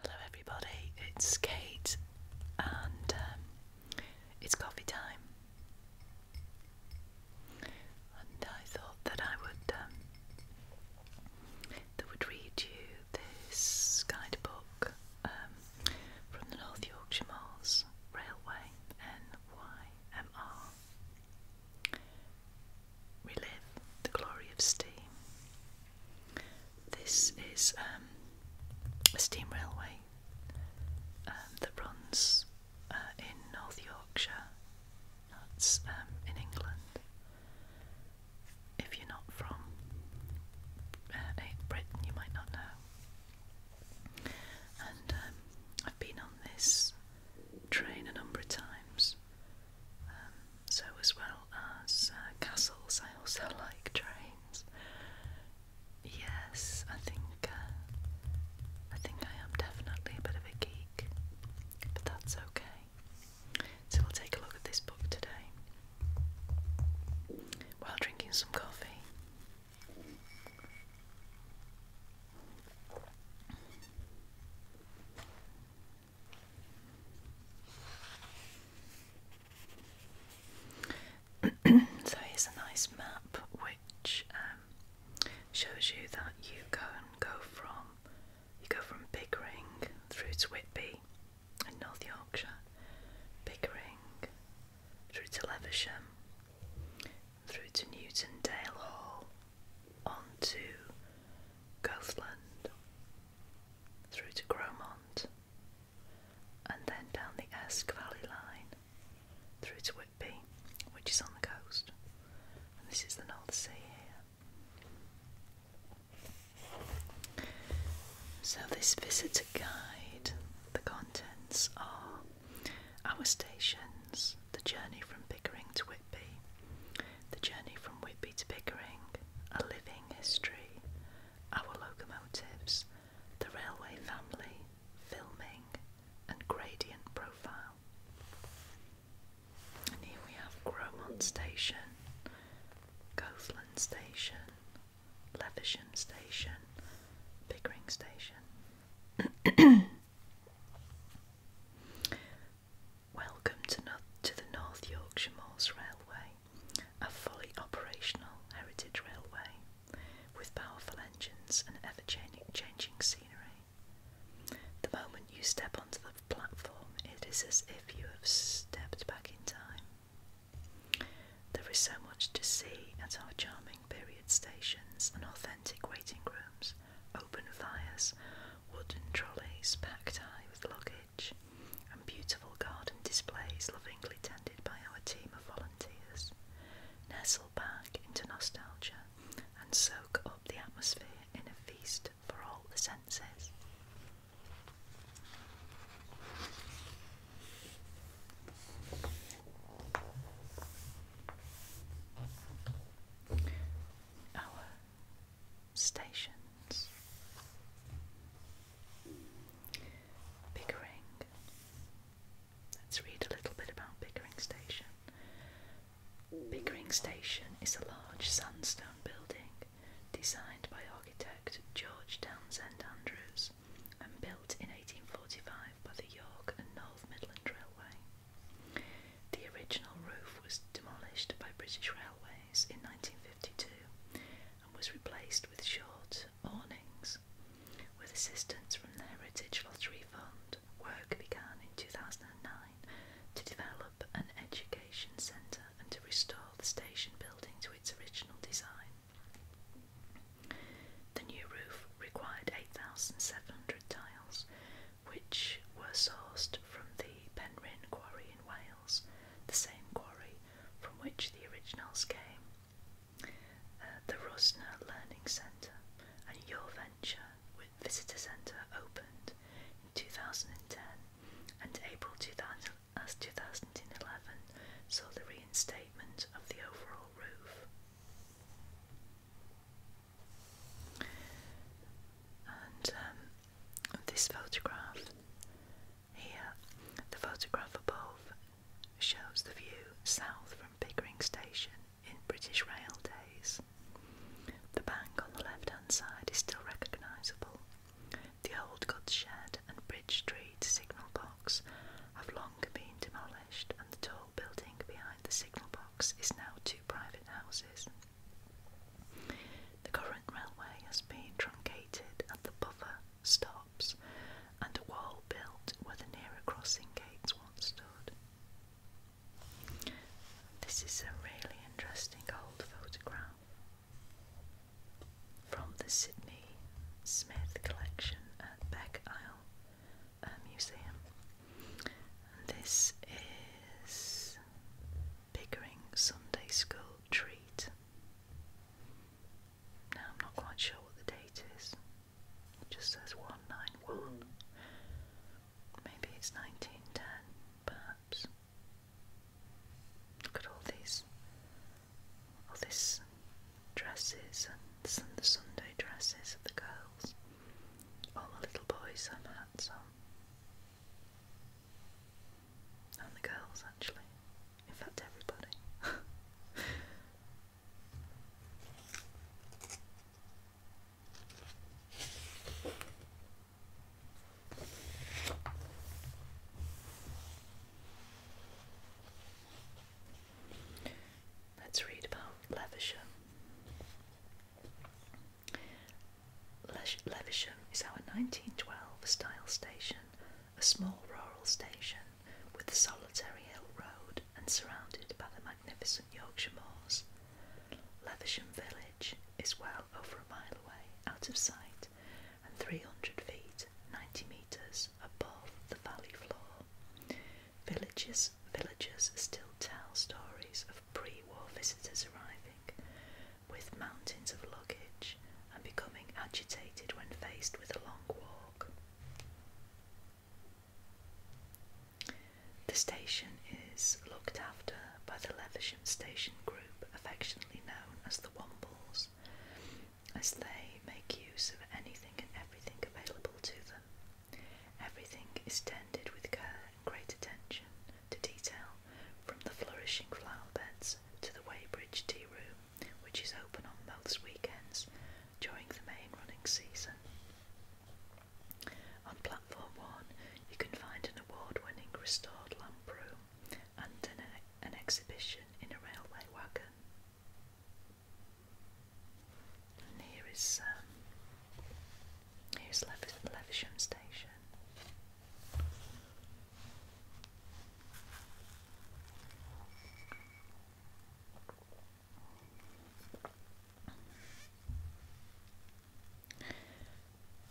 Hello, everybody, it's Kate, and um, it's coffee time. And I thought that I would, um, that would read you this guidebook um, from the North Yorkshire Moors Railway, NYMR. Relive the glory of steam. This is um, a steam railway um, that runs uh, in North Yorkshire. That's um, in England. If you're not from uh, eh, Britain, you might not know. And I've been on this train a number of times. Um, so, as well as uh, castles, I also like trains. Yes, I think uh, I think I am definitely a bit of a geek, but that's okay. So we'll take a look at this book today while drinking some coffee. so here's a nice map which um, shows you that you can go from you go from Pickering through to Whitby in North Yorkshire, Bickering through to Leversham, through to Newton Dale Hall, on to Gothland, through to Gromont, and then down the Esk Valley line through to Whitby, which is on the coast. And this is the North Sea here. So, this visitor guide, the contents are our stations, the journey from Pickering to Whitby, the journey from Whitby to Pickering, a living history, our locomotives, the railway family, filming, and gradient profile. And here we have Gromont Station, Goathland Station, Levisham Station, Pickering Station. Welcome to, the North Yorkshire Moors Railway, a fully operational heritage railway with powerful engines and ever changing scenery. The moment you step onto the platform, it is as if you have stepped back in time. There is so much to see at our charming period stations and authentic waiting rooms, open fires, wooden trolleys packed high with luggage and beautiful garden displays lovingly tended by our team of volunteers. Nestle back into nostalgia and soak up the atmosphere in a feast for all the senses. Our stations. Pickering. Let's read a little bit about Pickering Station. Pickering Station is a large sandstone building designed by architect George Townsend Andrews and built in 1845 by the York and North Midland Railway. The original roof was demolished by British Railway in 1952 and was replaced with short awnings. With assistance from the Heritage Lottery Fund, work began in 2009 to develop an education centre and to restore the station building to its original design. The new roof required 8,700 tiles, which were sourced from the Penryn Quarry in Wales the same quarry from which the originals came, uh, the Rosner Learning Centre and Your Venture Visitor Centre opened in 2010 and April as 2011 uh, saw the reinstatement of the overall roof. Um, this photograph here, the photograph above shows the view south from Pickering Station in British Rail days. The bank on the left hand side is still recognisable. The old goods shed and Bridge Street signal box have long been demolished, and the tall building behind the signal box is now two private houses. The current railway has been truncated at the buffer stops and a wall built where the nearer crossing gates once stood. This is a really interesting old photograph from the Sydney Smith collection at Beck Isle uh, Museum. this is Pickering Sunday School treat. Now I'm not quite sure what the date is. just says 191. Maybe it's 1910, perhaps. Look at all these, all these dresses and the Sunday dresses of the girls. All the little boys have hats on. And the girls, actually. In fact, everybody. Let's read about Levisham. Levesham is our 1912 style station, a small rural station with a solitary hill road and surrounded by the magnificent Yorkshire moors. Levesham village is well over a mile away, out of sight, and 300 feet, 90 metres above the valley floor. Villages, villagers still tell stories of pre-war visitors arriving, with mountains of luggage and becoming agitated when faced with a long walk. The station is looked after by the Levesham Station Group, affectionately known as the Wombles, as they make use of anything and everything available to them. Everything is tended with care great attention to detail from the flourishing flower beds to the Weybridge tea room, which is open on most weekends during the main running season. On platform one, you can find an award winning restored lamp room and an, exhibition in a railway wagon. And here is um, Here's Lev Station.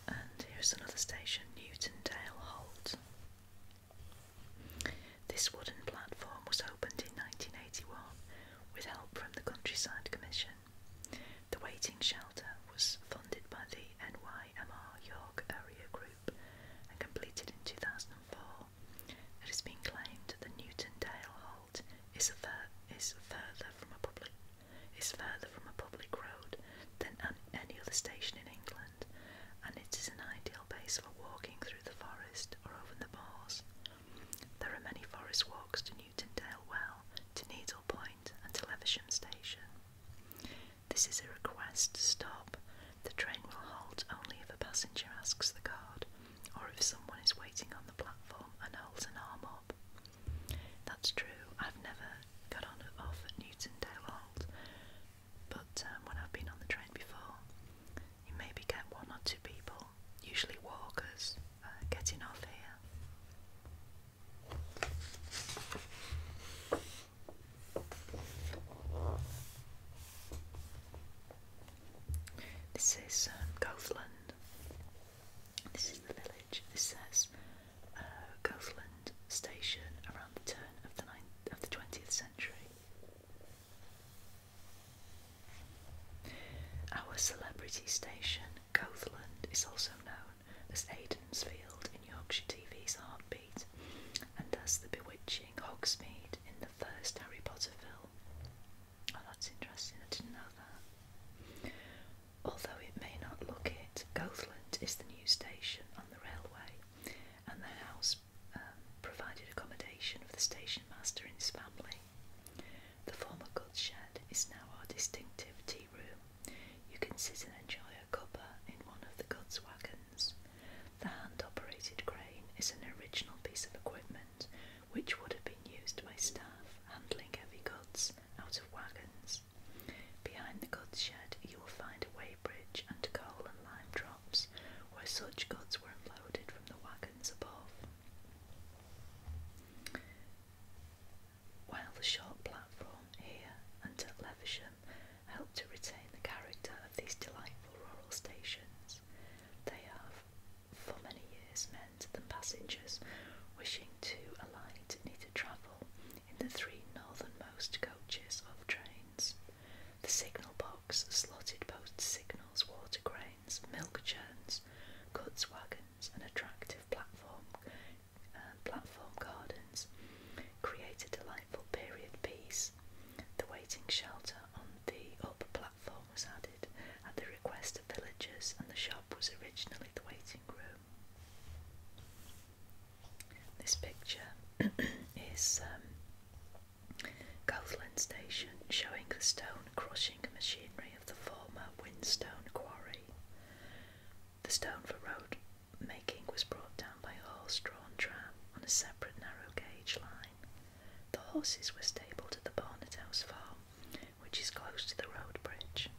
And here's another station, Newtondale Holt. This wooden platform was opened in 1981 with help from the Countryside Commission. The waiting shelter was funded by the NYMR York Area Group and completed in 2004. It has been claimed that the Newton Dale Halt is, further from a public road than any other station in England, and it is an ideal base for walking through the forest or over the moors. There are many forest walks to Newton Dale Well, to Needle Point, and to Leversham Station. This is a request to stop. The train will halt only if a passenger asks the guard or if someone is waiting on the platform and holds an arm up. That's true, I've never got on or off at Newtondale Halt, but um, when I've been on the train before, you maybe get one or two people, usually walkers, uh, getting off here. This is um, Gothland. This is the village. This says uh, Gothland Station around the turn of the ninth of the twentieth century. Our celebrity station Gothland is also known as Aidan's Field in Yorkshire TV's Heartbeat and as the bewitching Hogsmead in the first Harry Potter film. Oh, that's interesting, I didn't know that. Although it may not look it, Goathland is the new station and the railway and the house um, provided accommodation for the station master and his family. The former goods shed is now our distinctive tea room you can sit and enjoy a cuppa in one of the goods wagons. The hand operated crane is an original piece of equipment which would have been used by staff handling heavy goods out of wagons. Behind the goods shed, you will find a way bridge and coal and lime drops where such goods were unloaded from the wagons above while the short platform here and at Leversham help to retain the character of these delightful rural stations. They have for many years meant that passengers wishing to alight need to travel in the three northernmost coaches of trains. The signal box slotted post signals, water cranes, milk churns, goods wagons, and attractive platform uh, platform gardens create a delightful period piece. The waiting shelter on the upper platform was added at the request of villagers, and the shop was originally the waiting room. This picture is um, Station showing the stone crushing machinery of the former Whinstone Quarry. The stone for road making was brought down by a horse drawn tram on a separate narrow gauge line. The horses were stabled at the Barnett House farm, which is close to the road bridge.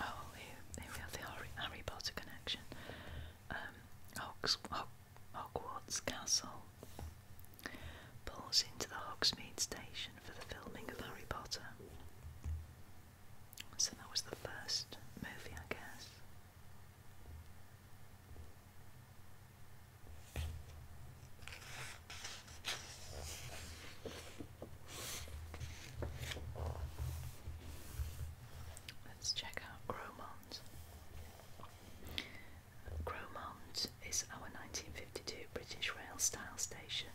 Oh, here, we have the Harry, Potter connection. Um, Hogs, Hog, Hogwarts Castle pulls into the Hogsmeade station for the filming of Harry Potter. So that was the first movie, I guess. Let's check out Gromont. Gromont is our 1952 British Rail style station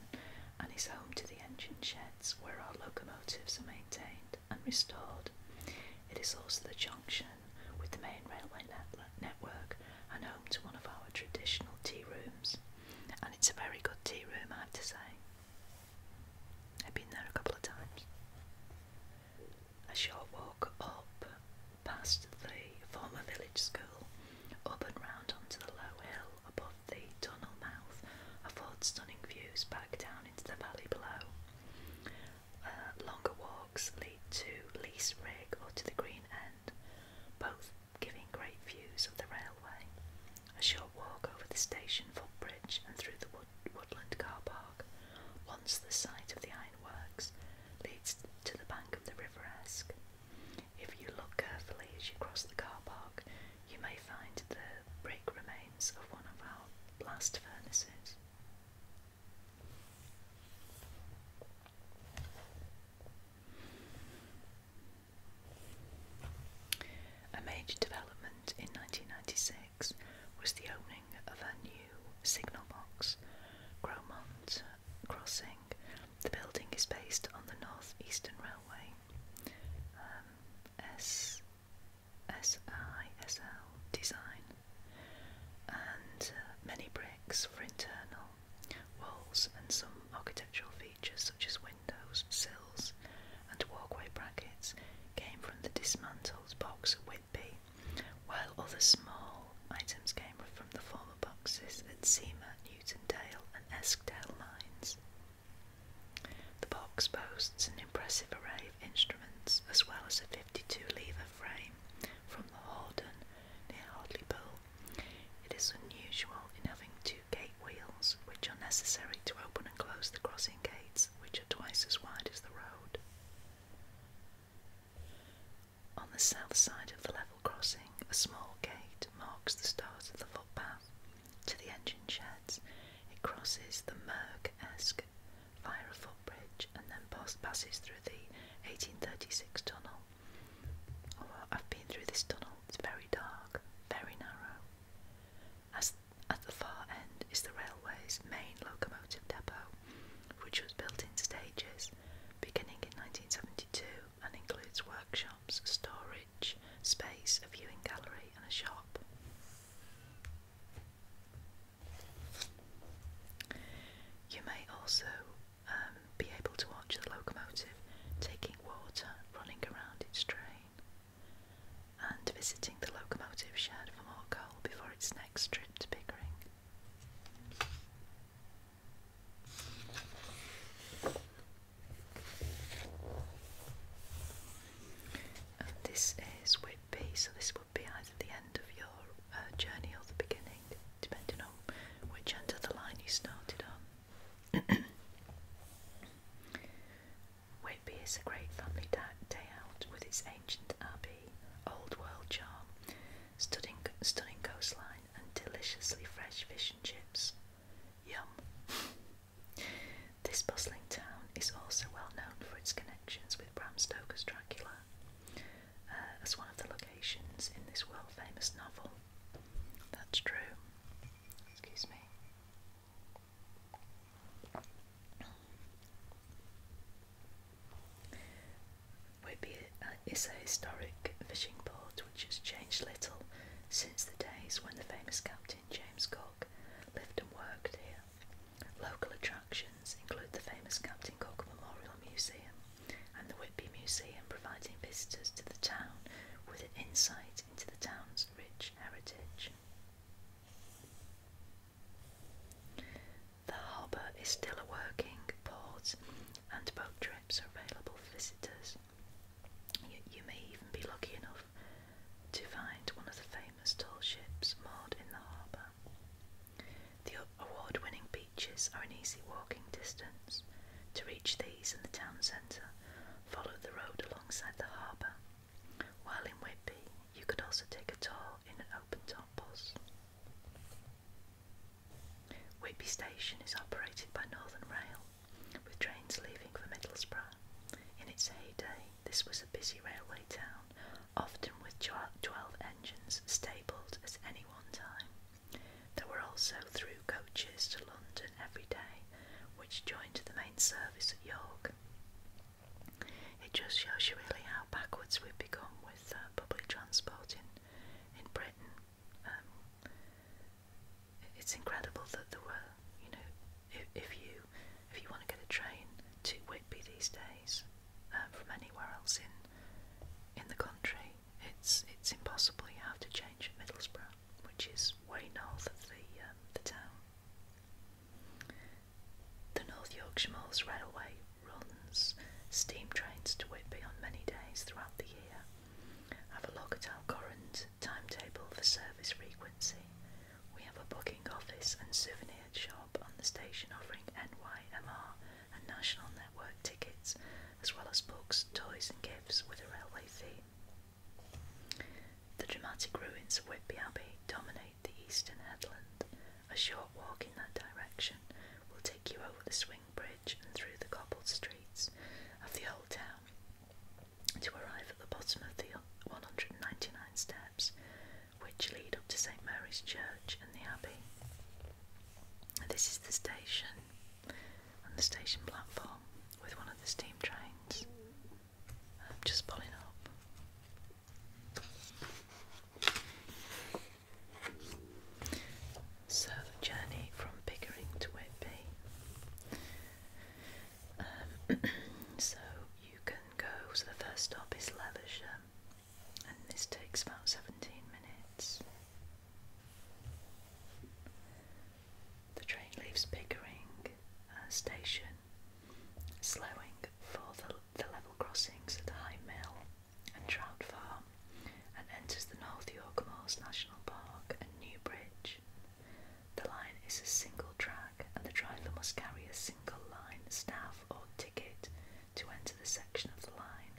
and is home to the engine sheds where our locomotives are maintained and restored. It is also the junction with the main railway network and home to one of our traditional tea rooms. And it's a very good tea room, I have to say. I've been there a couple of times. A short walk up past the former village school, up and round onto the low hill above the tunnel mouth, affords stunning views back down into the valley below. Uh, longer walks lead to Lees Rig or to the Green End, both giving great views of the railway. A short walk over the station footbridge and through the woodland car park, once the site of the ironworks, leads to the bank of the River Esk. If you look carefully as you cross the car park, you may find the brick remains of one of our blast furnaces. A major development in 1996 was the opening of a new signal box, Gromont Crossing. The building is based on the North Eastern Railway, um, S SISL design and uh, many bricks for internal walls and some architectural features such as windows, sills and walkway brackets came from the dismantled box at Whitby while other small items came from the former boxes at Seamer, Newton Dale and Eskdale mines. The box boasts an impressive array instruments, as well as a 52 lever frame from the Horden near Hartlepool. It is unusual in having two gate wheels, which are necessary to open and close the crossing gates, which are twice as wide as the road. On the south side of the level crossing, a small gate marks the start of the footpath to the engine sheds. It crosses the Merck esque via a footbridge, and then post passes through the 1836 tunnel. Oh, I've been through this tunnel. It's very dark, very narrow. As at the far end is the railway's main locomotive depot, which was built in stages, beginning in 1972, and includes workshops, storage, space, a viewing gallery, and a shop. You may also um, be able to watch the locomotive taking water running around its train and visiting the locomotive shed for more coal before its next trip to Pickering. And this is Whitby, so this would be, either the end of your uh, journey or the beginning, depending on which end of the line you started on. Whitby is a great family day out with its ancient abbey, old world charm, stunning, stunning coastline, and deliciously fresh fish and chips. Yum! This bustling town is also well known for its connections with Bram Stoker's Dracula uh, as one of the locations in this world famous novel. That's true. Excuse me. Whitby is a historic fishing port which has changed little since the days when the famous captain James Cook lived and worked here. Local attractions include the famous Captain Cook Memorial Museum and the Whitby Museum, providing visitors to the town with an insight into the town's rich heritage. The harbour is still a working port, and boat trips are available for visitors. You, may even be lucky enough to find one of the famous tall ships moored in the harbour. The award winning beaches are an easy walking distance. To reach these and the town centre, follow the road alongside the harbour. While in Whitby, you could also take a tour in an open top bus. Whitby Station is operated by Northern Rail, with trains leaving for Middlesbrough. In its heyday, this was a busy railway town often with 12 engines stabled at any one time. There were also through coaches to London every day, which joined the main service at York. It just shows you really how backwards we've become with uh, public transport in, in Britain. Um, it's incredible that there were, you know, if you if you want to get a train to Whitby these days um, from anywhere else in in the country, it's it's impossible. You have to change at Middlesbrough, which is way north of the um, the town. The North Yorkshire Moors Railway runs steam trains to Whitby on many days throughout the year. Have a look at our current timetable for service frequency we have a booking office and souvenir shop on the station offering NYMR and National Network tickets, as well as books, toys, and gifts with a railway theme. The dramatic ruins of Whitby Abbey dominate the eastern headland. A short walk in that direction will take you over the swing bridge and through the cobbled streets of the old town to arrive at the bottom of the 199 stairs which lead up to St Mary's Church and the Abbey. This is the station and the station platform with one of the steam trains just pulling up. So the journey from Pickering to Whitby. Um, so you can go, so the first stop is Levisham, and this takes about 17 minutes. The train leaves Pickering uh, station, slowing for the, level crossings at High Mill and Trout Farm, and enters the North York Moors National Park and Newbridge. The line is a single track, and the driver must carry a single line staff or ticket to enter the section of the line.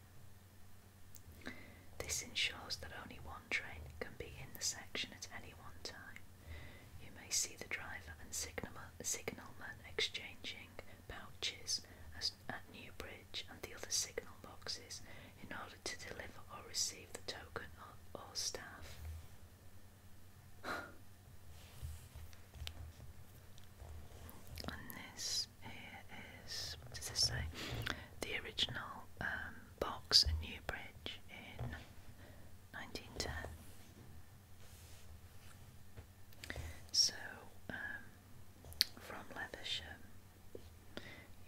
This ensures that only one train can be in the section at any one time. You may see the driver and signalman, exchanging pouches at Newbridge and the other signal boxes in order to deliver or receive the token or staff and this here is does this say? The original um, box at Newbridge in 1910. So um, from Leversham,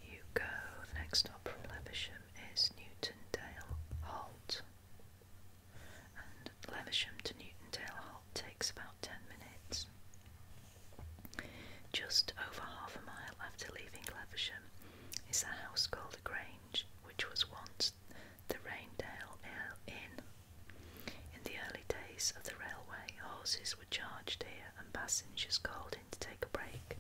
you go. The next stop from Leversham is Newton Dale Holt and Lewisham to Newton Dale Hop takes about 10 minutes. Just over half a mile after leaving Leversham is a house called The Grange, which was once the Raindale Inn. In the early days of the railway, horses were charged here and passengers called in to take a break.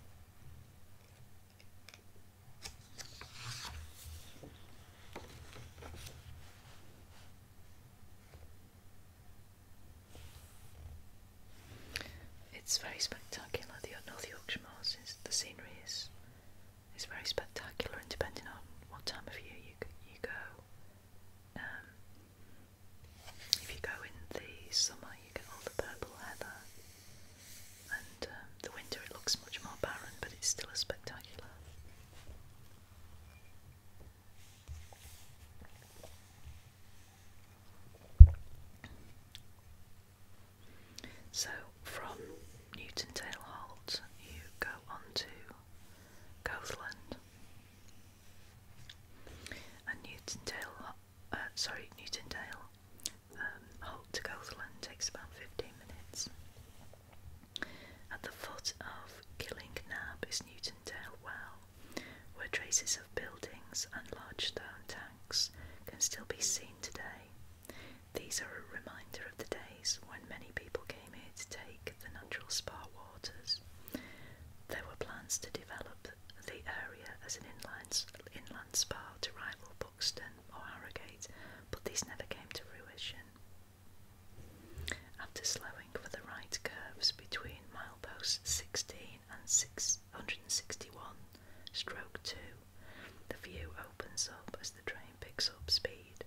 It's very spectacular, the uh, North Yorkshire Moors, the scenery is, is very spectacular and depending on what time of year you, you go, um, if you go in the summer you get all the purple heather and um, the winter it looks much more barren, but it's still a spectacular. So from Newton Tail Holt, you go on to Goathland, and Newton Tail, uh, sorry, Newton Tail um, Holt to Goathland takes about fifteen minutes. At the foot of Killing Killingnab is Newtondale Well, where traces of buildings and large stone tanks can still be seen today. These are a reminder of the days when many people came here to take the natural spa waters. There were plans to develop the area as an inland, inland spa to rival Buxton or Harrogate, but these never came to fruition. After slowing for the right curves between mileposts 16 and 661, stroke 2, the view opens up as the train picks up speed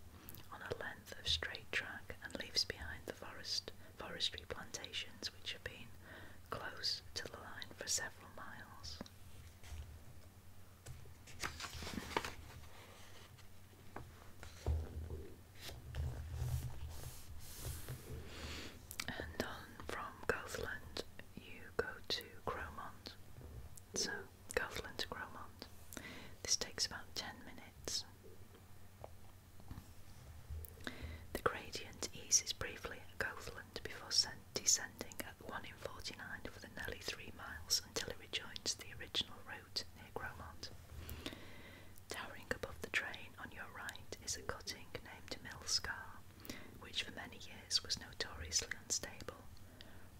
on a length of straight track and leaves behind the forest forestry plantations which have been close to the line for several miles. And on from Garthland you go to Cromont. So Garthland to Cromont. This takes about 10 minutes. The gradient eases briefly at Garthland before descending 1 in 49 for the nearly three miles until it rejoins the original route near Gromont. Towering above the train on your right is a cutting named Mill Scar, which for many years was notoriously unstable.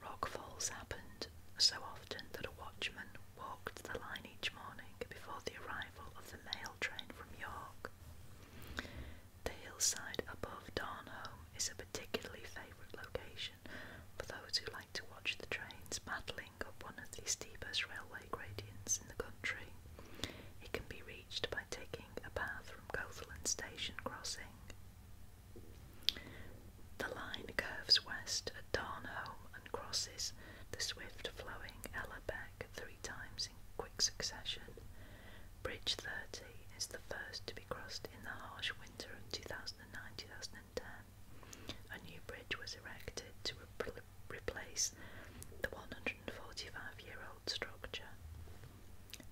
Rock falls happened so often that a watchman walked the line each morning before the arrival of the mail train from York. The hillside above Darnholm is a particularly favourite location for those who like to watch the trains battling up one of the steepest railway gradients in the country. It can be reached by taking a path from Cotherland station crossing. The line curves west at Darnholm and crosses the swift flowing Ellerbeck three times in quick succession. Bridge 30 is the first to be crossed in the harsh winter of 2009-2010. A new bridge was erected to replace the 145-year-old structure.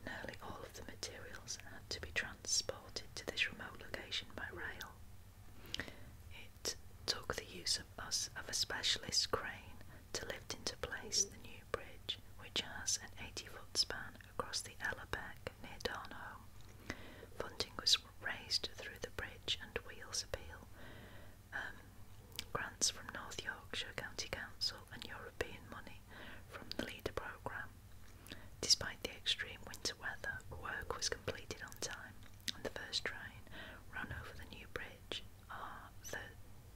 Nearly all of the materials had to be transported to this remote location by rail. It took the use of us of a specialist crane to lift into place the new bridge, which has an 80-foot span across the Ellerbeck near Darnholm. Funding was raised through the bridge and wheels appeal, um, grants from North Yorkshire County Council, and European money from the LEADER programme. Despite the extreme winter weather, work was completed on time, and the first train ran over the new bridge,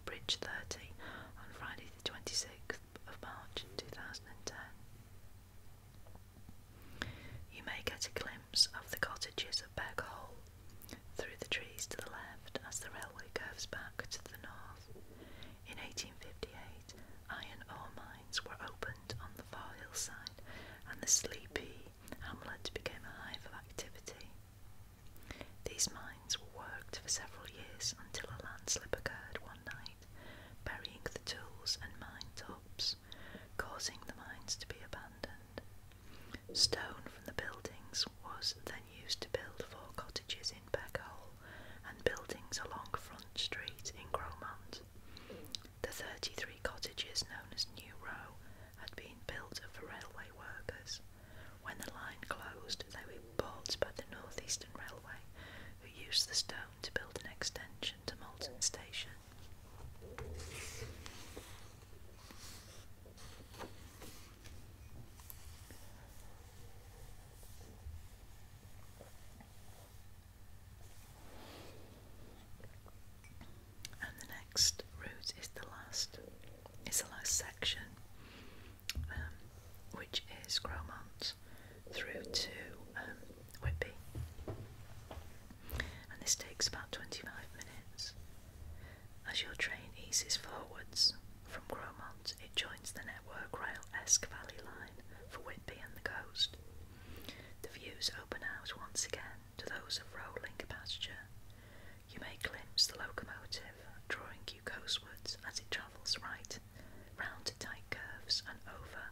Bridge 30, on Friday the 26th of March 2010. You may get a glimpse of the cottages of Beg Hole through the trees to the left as the railway curves back to the north. In 1858, iron ore mines were opened on the far hillside, and the sleepy hamlet became a hive of activity. These mines were worked for several years until a landslide occurred one night burying the tools and mine tops, causing the mines to be abandoned. Stone from the buildings was then used to build four cottages in Beckhole, and buildings along Front Street in Cromont. The 33 cottages known as New Row had been built for railway workers. When the line closed, they were bought by the Northeastern Railway, who used the stone to build an extension to Moulton Station. And the next route is the last, is the last section, um, which is Cromont through to um, Whitby. And this takes about 25 minutes. As your train eases forwards from Gromont, it joins the Network Rail Esk Valley line for Whitby and the coast. The views open out once again to those of rolling pasture. You may glimpse the locomotive drawing you coastwards as it travels right round to tight curves and over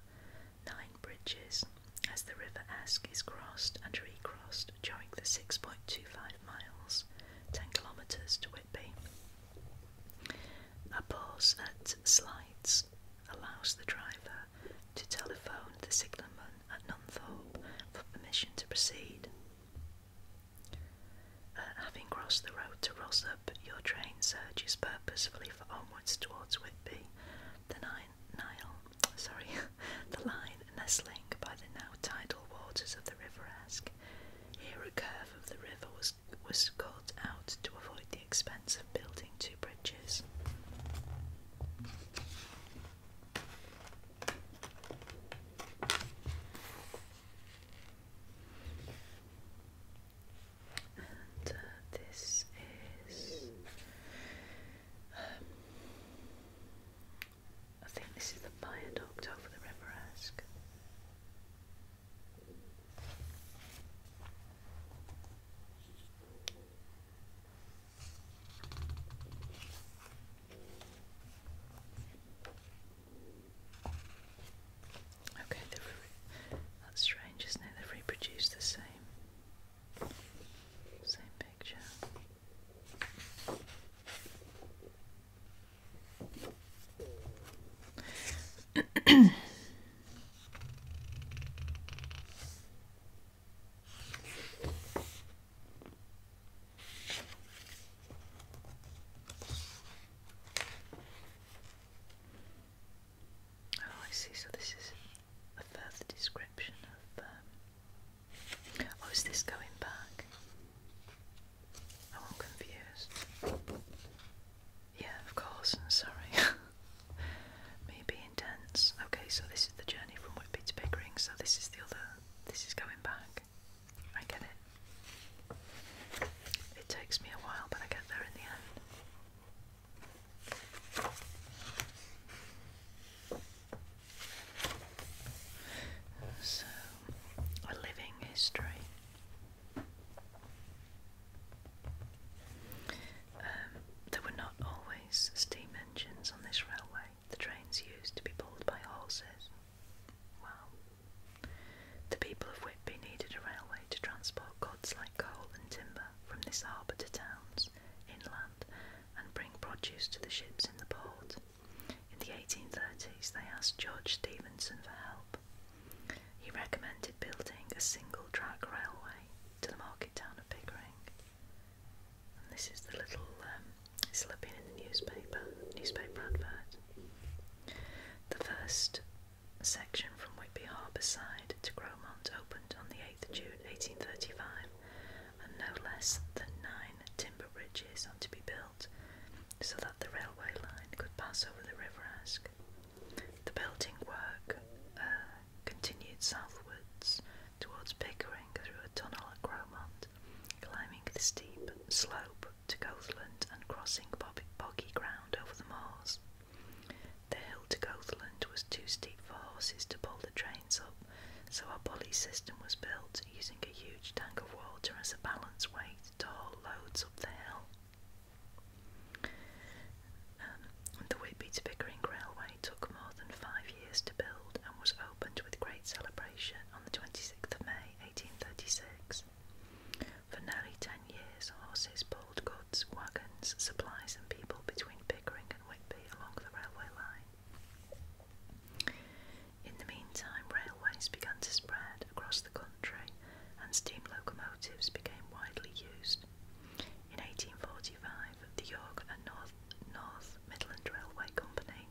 nine bridges as the River Esk is crossed and recrossed during the 6.25 miles, 10 kilometres to Whitby. A pause that Slides allows the driver to telephone the signalman at Nunthorpe for permission to proceed. Uh, having crossed the road to Rossup, your train surges purposefully onwards towards Whitby, the Nile, sorry, the line nestling by the now tidal waters of the River Esk. Here a curve of the river was, was cut out to avoid the expense of building two bridges. Uh, this is um, I think this is the viaduct over the River Esk. Okay, that's strange, isn't it? They've reproduced the same, same picture. Oh, I see. So this is a further description of. Um, oh, is this going back? Oh, I'm confused. Yeah, of course. Sorry. Me being Okay, so this is the journey from Whitby to Pickering. So this is the other. This is going back. I get it. It takes me a while, but I get there in the end. So, a living history. Um, there were not always steam engines on this railway. The trains used to be pulled by horses. Wow. The people of Whitby needed a railway to transport goods like coal and timber from this harbour to towns inland and bring produce to the ships in the port. In the 1830s, they asked George Stephenson for help. He recommended building a single track railway to the market town of Pickering. this is the little um, slip in the newspaper, newspaper advert. The first a section from Whitby Harbour side to Grosmont opened on the 8th June 1835, and no less than nine timber bridges are to be built so that the railway line could pass over the River Esk. The building work uh, continued southwards towards Pickering through a tunnel at Grosmont, climbing the steep slope to Gothland and crossing boggy ground over the moors. The hill to Goathland was too steep for horses to pull the trains up, so a pulley system was built using a huge tank of water as a balance weight to haul loads up the hill. Um, the Whitby to Bickering Railway took more than five years to build and was opened with great celebration on the 26th of May 1836. For nearly ten years, horses pulled goods, wagons, supplies, and people between Pickering and Whitby along the railway line. In the meantime, railways began to spread across the country and steam locomotives became widely used. In 1845, the York and North, North Midland Railway Company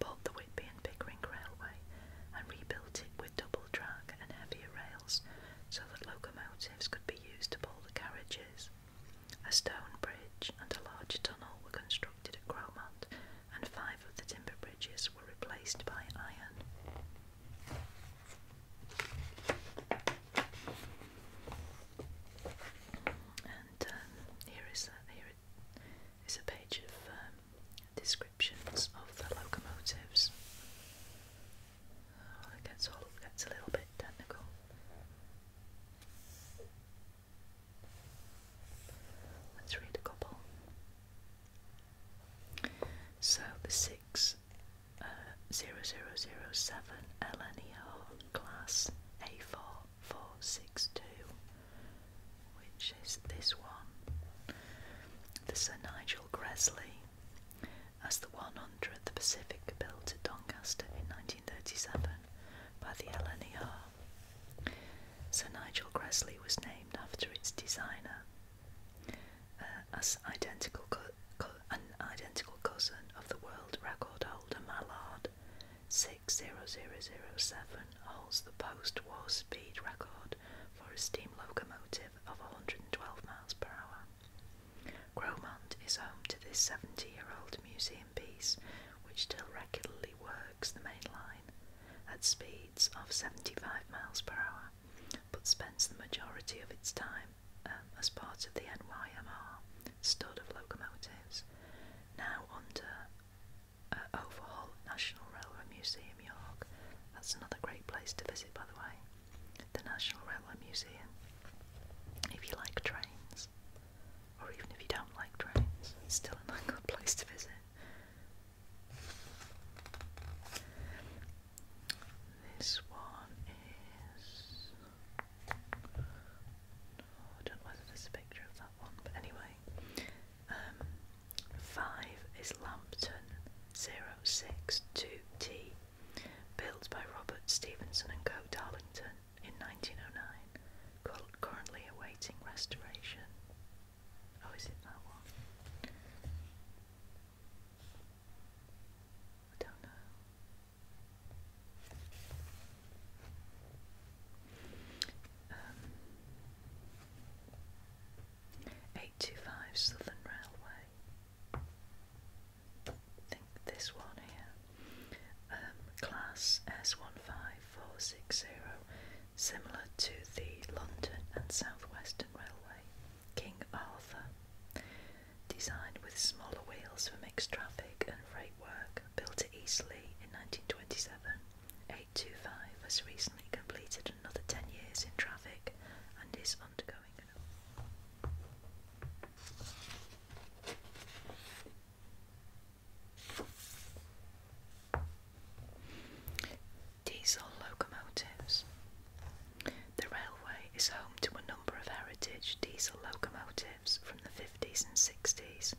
bought the Whitby and Pickering Railway and rebuilt it with double track and heavier rails so that locomotives could be used to pull the carriages. A stone bridge and a large tunnel were constructed at Cromont, and five of the timber bridges were replaced by iron. And um, here is a, here is a page of um, description descriptions of the locomotives. Oh, it all, gets a little bit technical. Let's read a couple. So the six uh, zero zero zero seven LNER class A four four six two, which is this one. The Sir Nigel Gresley as the 100th the Pacific built at Doncaster in 1937 by the LNER. Sir Nigel Gresley was named after its designer, uh, as identical an identical cousin of the world record holder Mallard. 60007 holds the post war speed record for a steam locomotive of 112 miles per hour. Gromond is home to this 70 year old museum piece, which still regularly works the main line at speeds of 75 miles per hour, but spends the majority of its time um, as part of the NYMR stud of locomotives, now under uh, Overhaul National Railway Museum that's another great place to visit, by the way. The National Railway Museum. If you like trains, or even if you don't like trains, it's still another good place to visit. This one is. Oh, I don't know whether there's a picture of that one, but anyway, um, Five is Lambton 062T, built by Robert Stevenson and Co. Darlington in 1909, currently awaiting restoration. Oh, is it that one? I don't know. Um, 825 Southern Railway. think this one here. Um, class S15460, similar to the London and South Western Railway. King Arthur. Designed with smaller wheels for mixed traffic and freight work, built at Eastleigh in 1927. 825 has recently completed another 10 years in traffic and is undergoing Diesel locomotives. The railway is home to a number of heritage diesel locomotives from the 50s and 60s,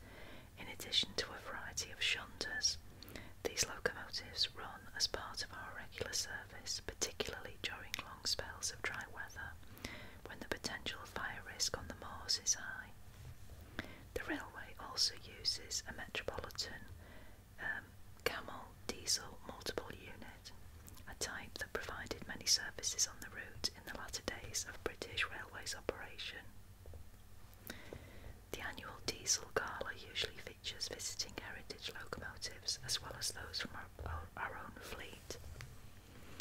in addition to a variety of shunters these locomotives run as part of our regular service, particularly during long spells of dry weather when the potential fire risk on the moors is high. The railway also uses a metropolitan um, camel diesel multiple unit, a type that provided many services on the route in the latter days of British Railways operation. The annual diesel gala usually visiting heritage locomotives as well as those from our, our own fleet.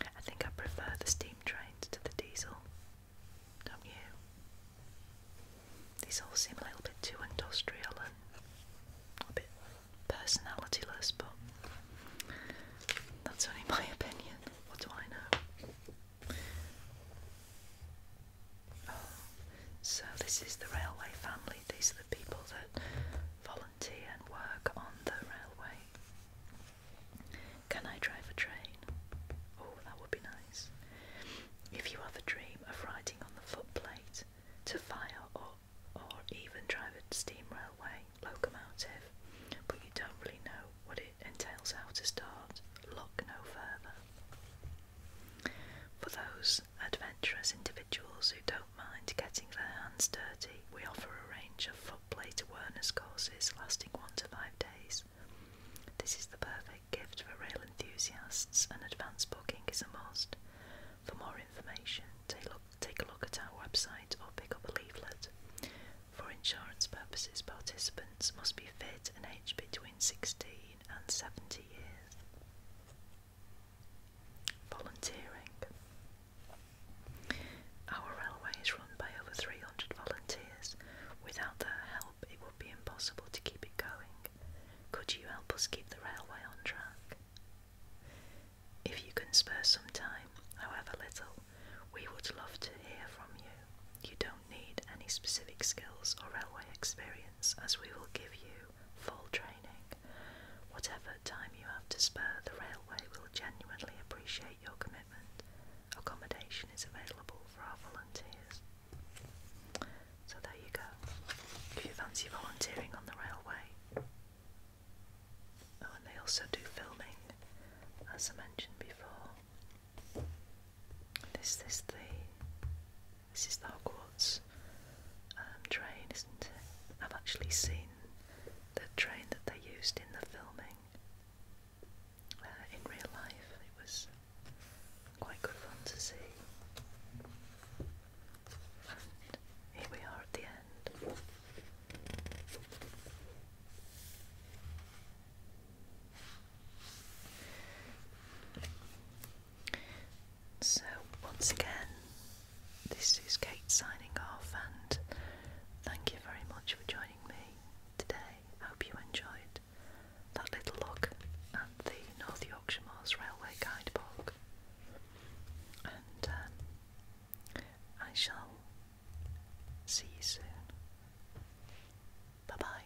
I think I prefer the steam trains to the diesel. Don't you? These all seem a little bit too industrial and a bit personalityless, but that's only my opinion. What do I know? so this is the railway family. These are the people that volunteer and work on the railway. Can I drive a train? Oh, that would be nice. If you have a dream of riding on the footplate to fire or or even drive a steam railway locomotive, but you don't really know what it entails how to start, look no further. For those adventurous individuals who don't mind getting their hands dirty, we offer a range of footplate awareness courses lasting one to five days. This is the perfect gift for rail enthusiasts, and advance booking is a must. For more information, take a look at our website or pick up a leaflet. For insurance purposes, participants must be fit and aged between 16 and 70 years. Volunteering. Our railway is run by over 300 volunteers. Without their help, it would be impossible to keep it going. Could you help us keep the railway on track? If you can spare some time, however little, we would love to hear from you. You don't need any specific skills or railway experience, as we will give you full training. Whatever time you have to spare, the railway will genuinely appreciate your commitment. Accommodation is available for our volunteers. So there you go. If you fancy volunteering on the railway. Oh, and they also do filming, as I mentioned before. This is the this is the Hogwarts um, train, isn't it? I've actually seen the train that they used in the filming uh, in real life. It was quite good fun to see. here we are at the end. So, once again, this is Kate signing off, and thank you very much for joining me today. hope you enjoyed that little look at the North Yorkshire Moors Railway Guidebook, and um, I shall see you soon. Bye bye.